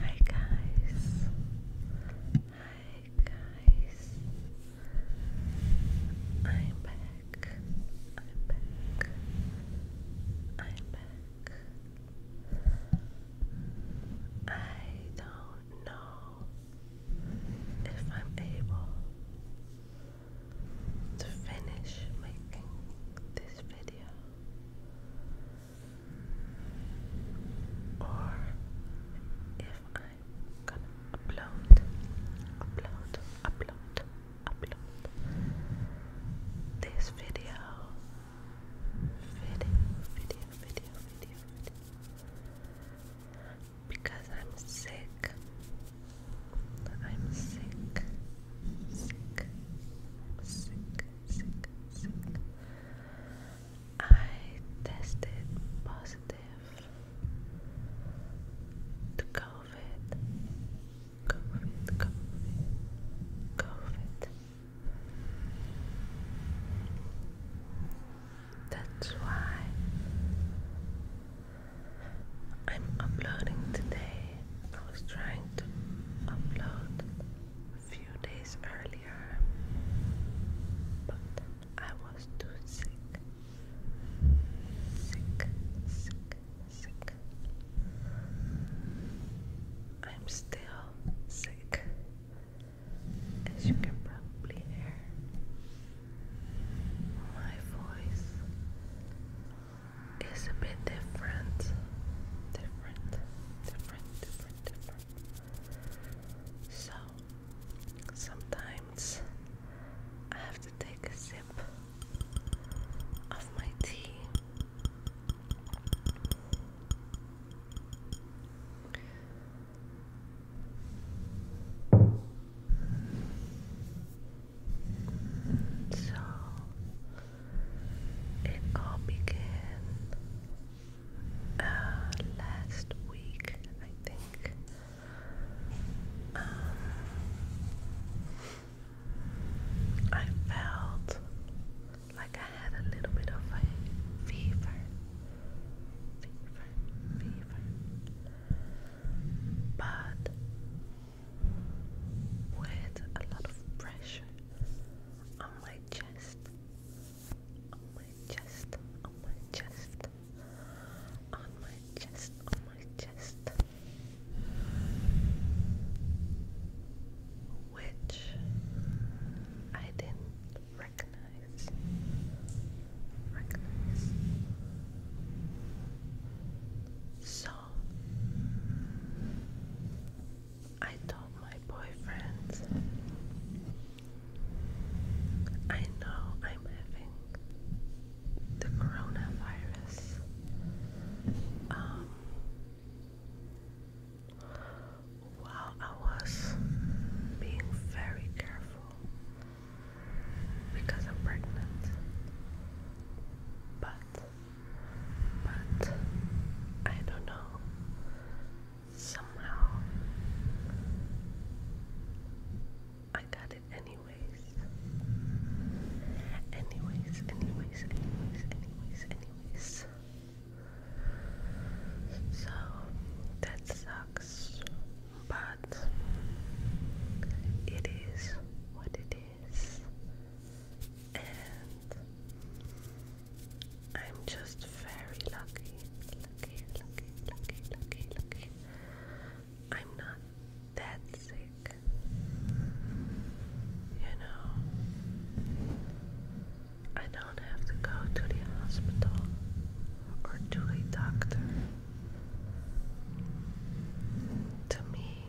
Hi guys. Hi guys. I'm back. I'm back. I'm back. I don't know if I'm able to finish making this video or if I'm gonna upload, upload, upload, upload this video, video, video, video, video, because I'm sick. I'm sick, sick, I'm sick. I tested positive to COVID. COVID, COVID, COVID. That's why I'm uploading today. I was trying to upload a few days earlier, but I was too sick. Sick, sick, sick. I'm still sick, as you can probably hear. My voice it's a bit different. Different, different, different, different. So sometimes I have to take a sip of my tea. So it all began uh, last week, I think. Um, I felt like I had a little bit of a fever. Fever, fever. But with a lot of pressure on my chest, on my chest, on my chest, on my chest, on my chest, which I didn't recognize. Recognize. So I told my boyfriend, I know I'm having the coronavirus. Um, while I was being very careful because I'm pregnant, but but I don't know. Somehow I got it anyways. Anyways, anyways, anyways, anyways, anyways. So that sucks, but it is what it is and I'm just very lucky, lucky, lucky, lucky, lucky, lucky. I'm not that sick, you know. I don't have to go to the hospital or to a doctor. To me,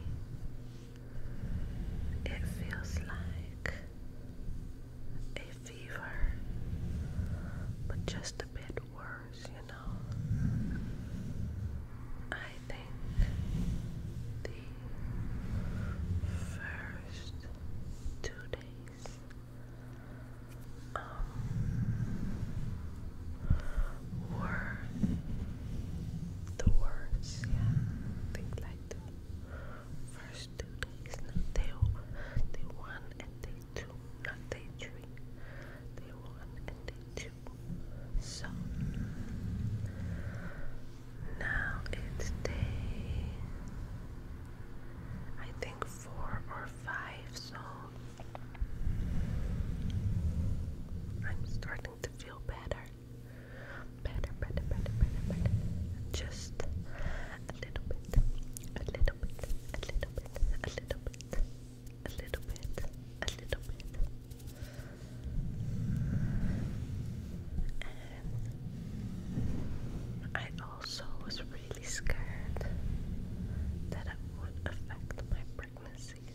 it feels like a fever, but just a bit worse, you know. I think the first two days um, or the words, yeah, things like the first two days, no, day, day one and day two, not day three, day one and day two. So now it's day, I think four or five, so. I'm starting to feel better better, better, better, better, better. Just a little bit, a little bit, a little bit, a little bit, a little bit, a little bit. And I also was really scared that it would affect my pregnancy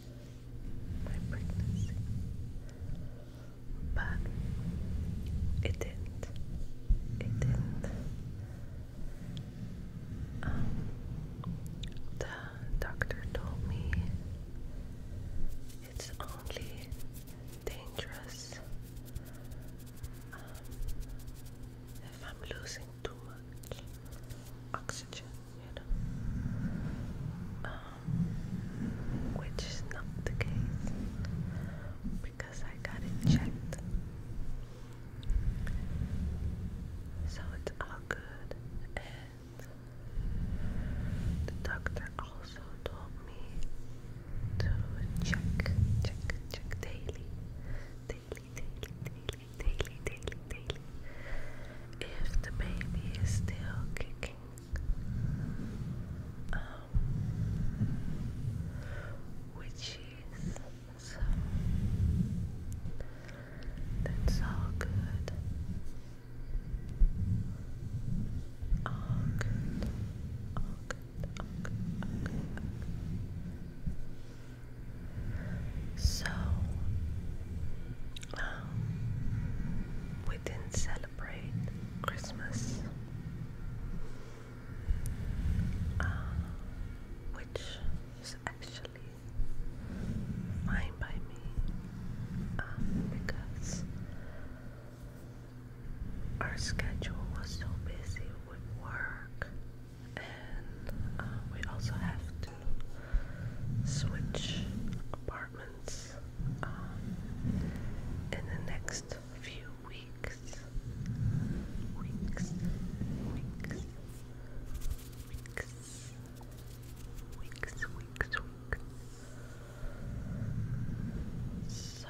my pregnancy, but it didn't. It didn't. Um, the doctor told me it's only dangerous um, if I'm losing too much oxygen um, which is not the case because I got it checked. So it's all good, and the doctor also told me to check, check, check daily, daily, daily, daily, daily, daily, if the baby is still kicking, um, which is that's All good. All good. All good. All good. So, um, we didn't celebrate Christmas, uh, which is actually fine by me uh, because our schedule was so busy with work, and uh, we also have switch apartments um, in the next few weeks. Weeks, weeks, weeks, weeks, weeks, weeks. So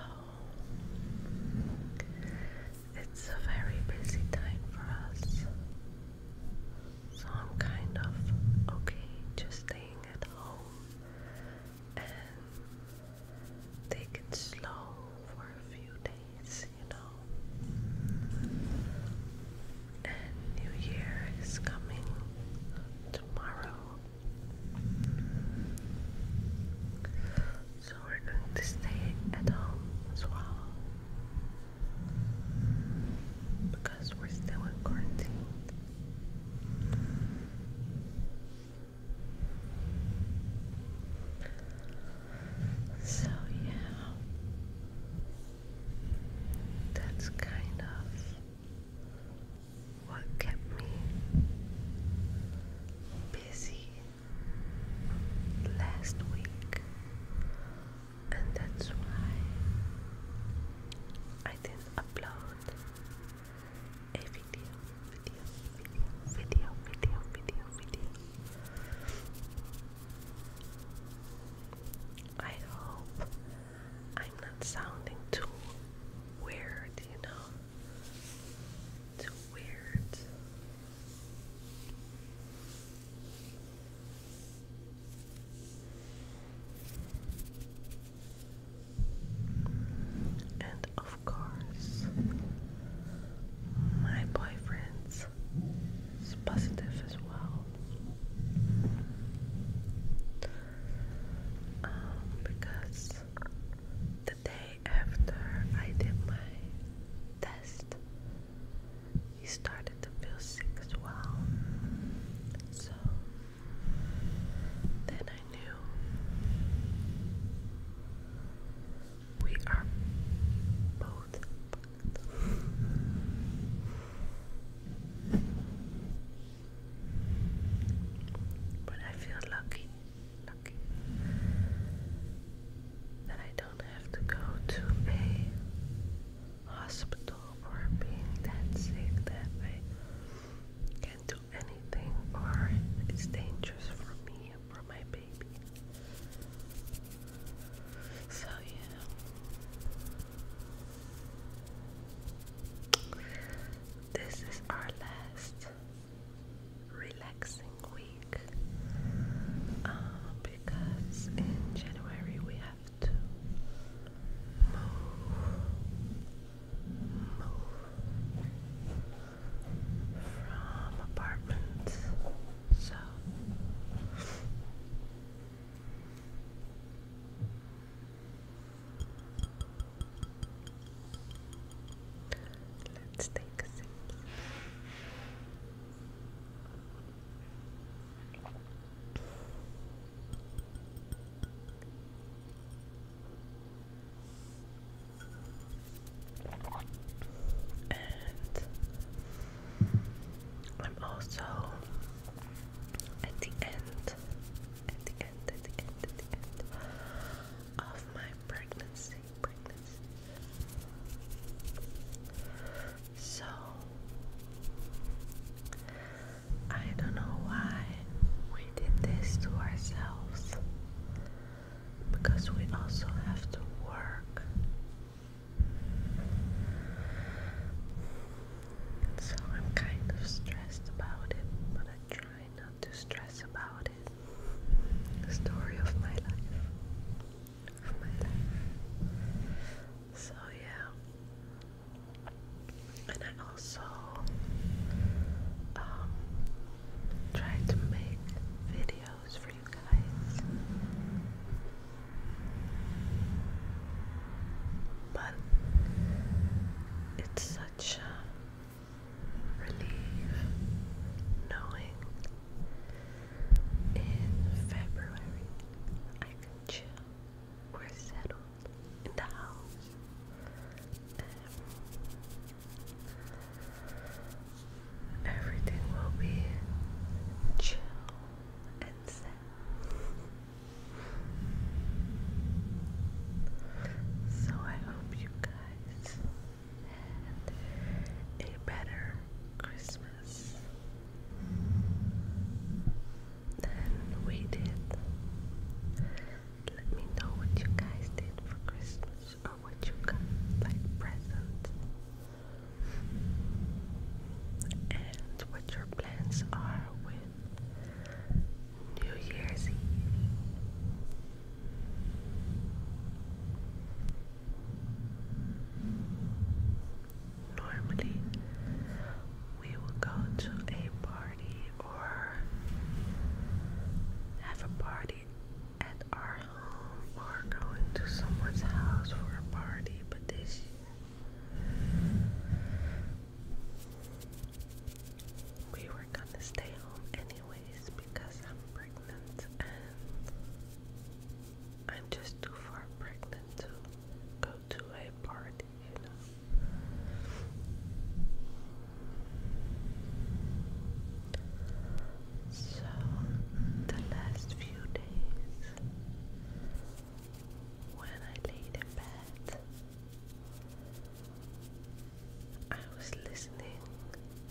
it's a very busy time for us. So I'm kind of okay just staying at home and take it slow for a few days, you know. And New Year is coming tomorrow. So we're going to stay at home as well because we're still in quarantine. So, yeah, that's kind of what kept me busy last week and that's why I didn't upload a video, video, video, video, video, video, I hope I'm not sounding too weird, you know, too weird. And of course, my boyfriend's positive as well. Um, because the day after I did my test, he started to feel sick as well. So then I knew we are both. But I feel lucky, lucky that I don't have to go to a hospital for being that sick that I can't do anything or it's dangerous for me and my baby. So, yeah. This is our last relaxing week uh, because in January we have have to move, move from apartments. So. Let's take a sip. And I'm also at the end, at the end, at the end, at the end of my pregnancy, so I don't know why we did this to ourselves because we also have to work. So I'm kind of stressed about it, but I try not to stress about it. The story of my life. So, yeah. And I also um, try to make videos for you guys. But it's such a relief knowing in February, I can chill. We're settled in the house. Um, everything will be chill and set. So I hope you guys had a better Christmas this. Then we did. Let me know what you guys did for Christmas or what you got like presents. And what your plans are with New Year's Eve. Normally, we will go to a party or have a party at our home or going to someone's house for a party, but this we were gonna stay home anyways because I'm pregnant and I'm just too far pregnant to go to a party, you know. So, the last few days, when I laid in bed, I was listening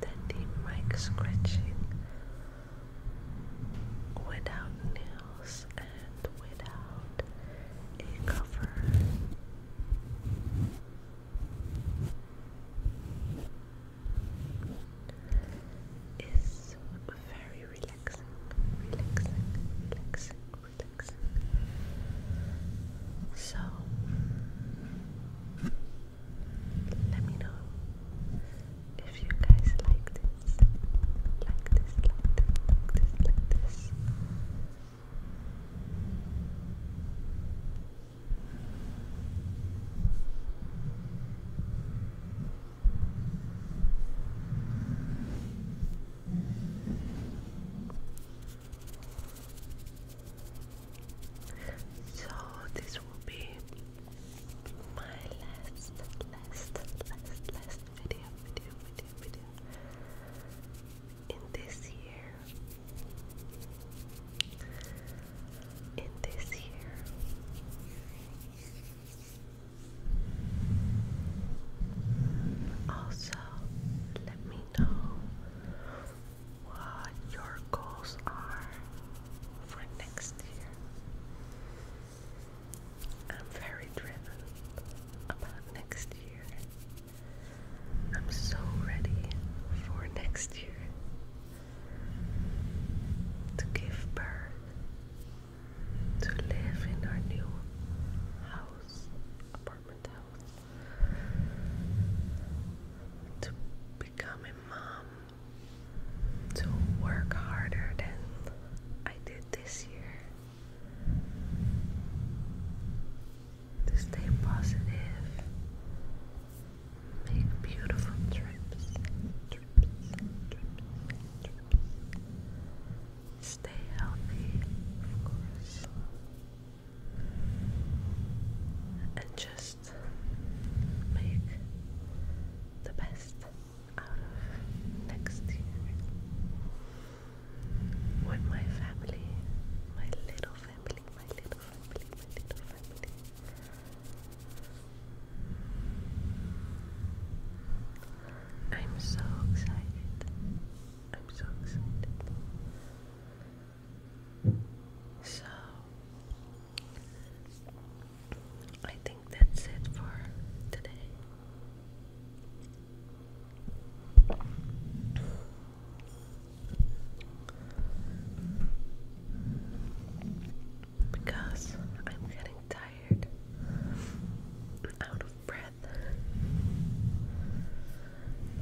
that deep mic scratching without nails and without a cover. Is very relaxing. So, let me know if you guys like this. Like this, like this, like this, like this. So this will be my last, last, last, last video, video, video, video in this year. In this year. Also, let me know what your goals are for next year. I'm very driven about next year. I'm so ready for next year to give birth, to live in our new house, apartment house, to become a mom to work harder than I did this year. To stay positive, make beautiful trips, Stay healthy, of course and just make the best out of next year with my family, my little family, my little family, my little family. I'm so excited. I'm so excited. So I think that's it for today. Because I'm getting tired, out of breath.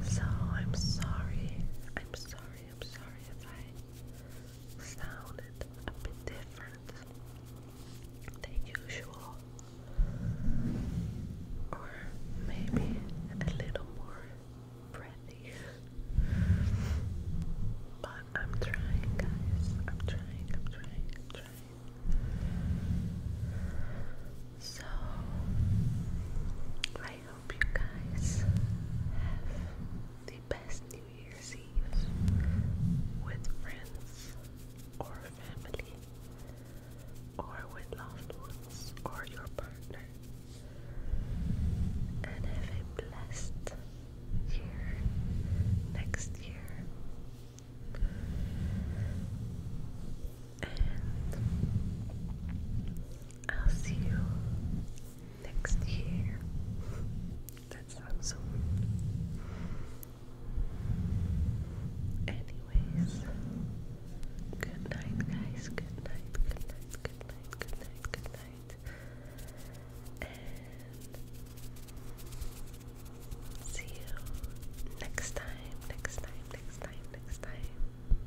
So I'm sorry, I'm sorry I'm sorry if I sounded a bit different than usual, or maybe a little more breathy. But I'm trying, guys. I'm trying, I'm trying, I'm trying. So, I hope you guys have the best New Year's Eve with friends or family or with loved ones or your partner. And have a blessed year next year. I'll see you next year. That sounds so weird. Anyways, good night, guys. Good night, good night, good night, good night, good night. And see you next time, next time, next time, next time.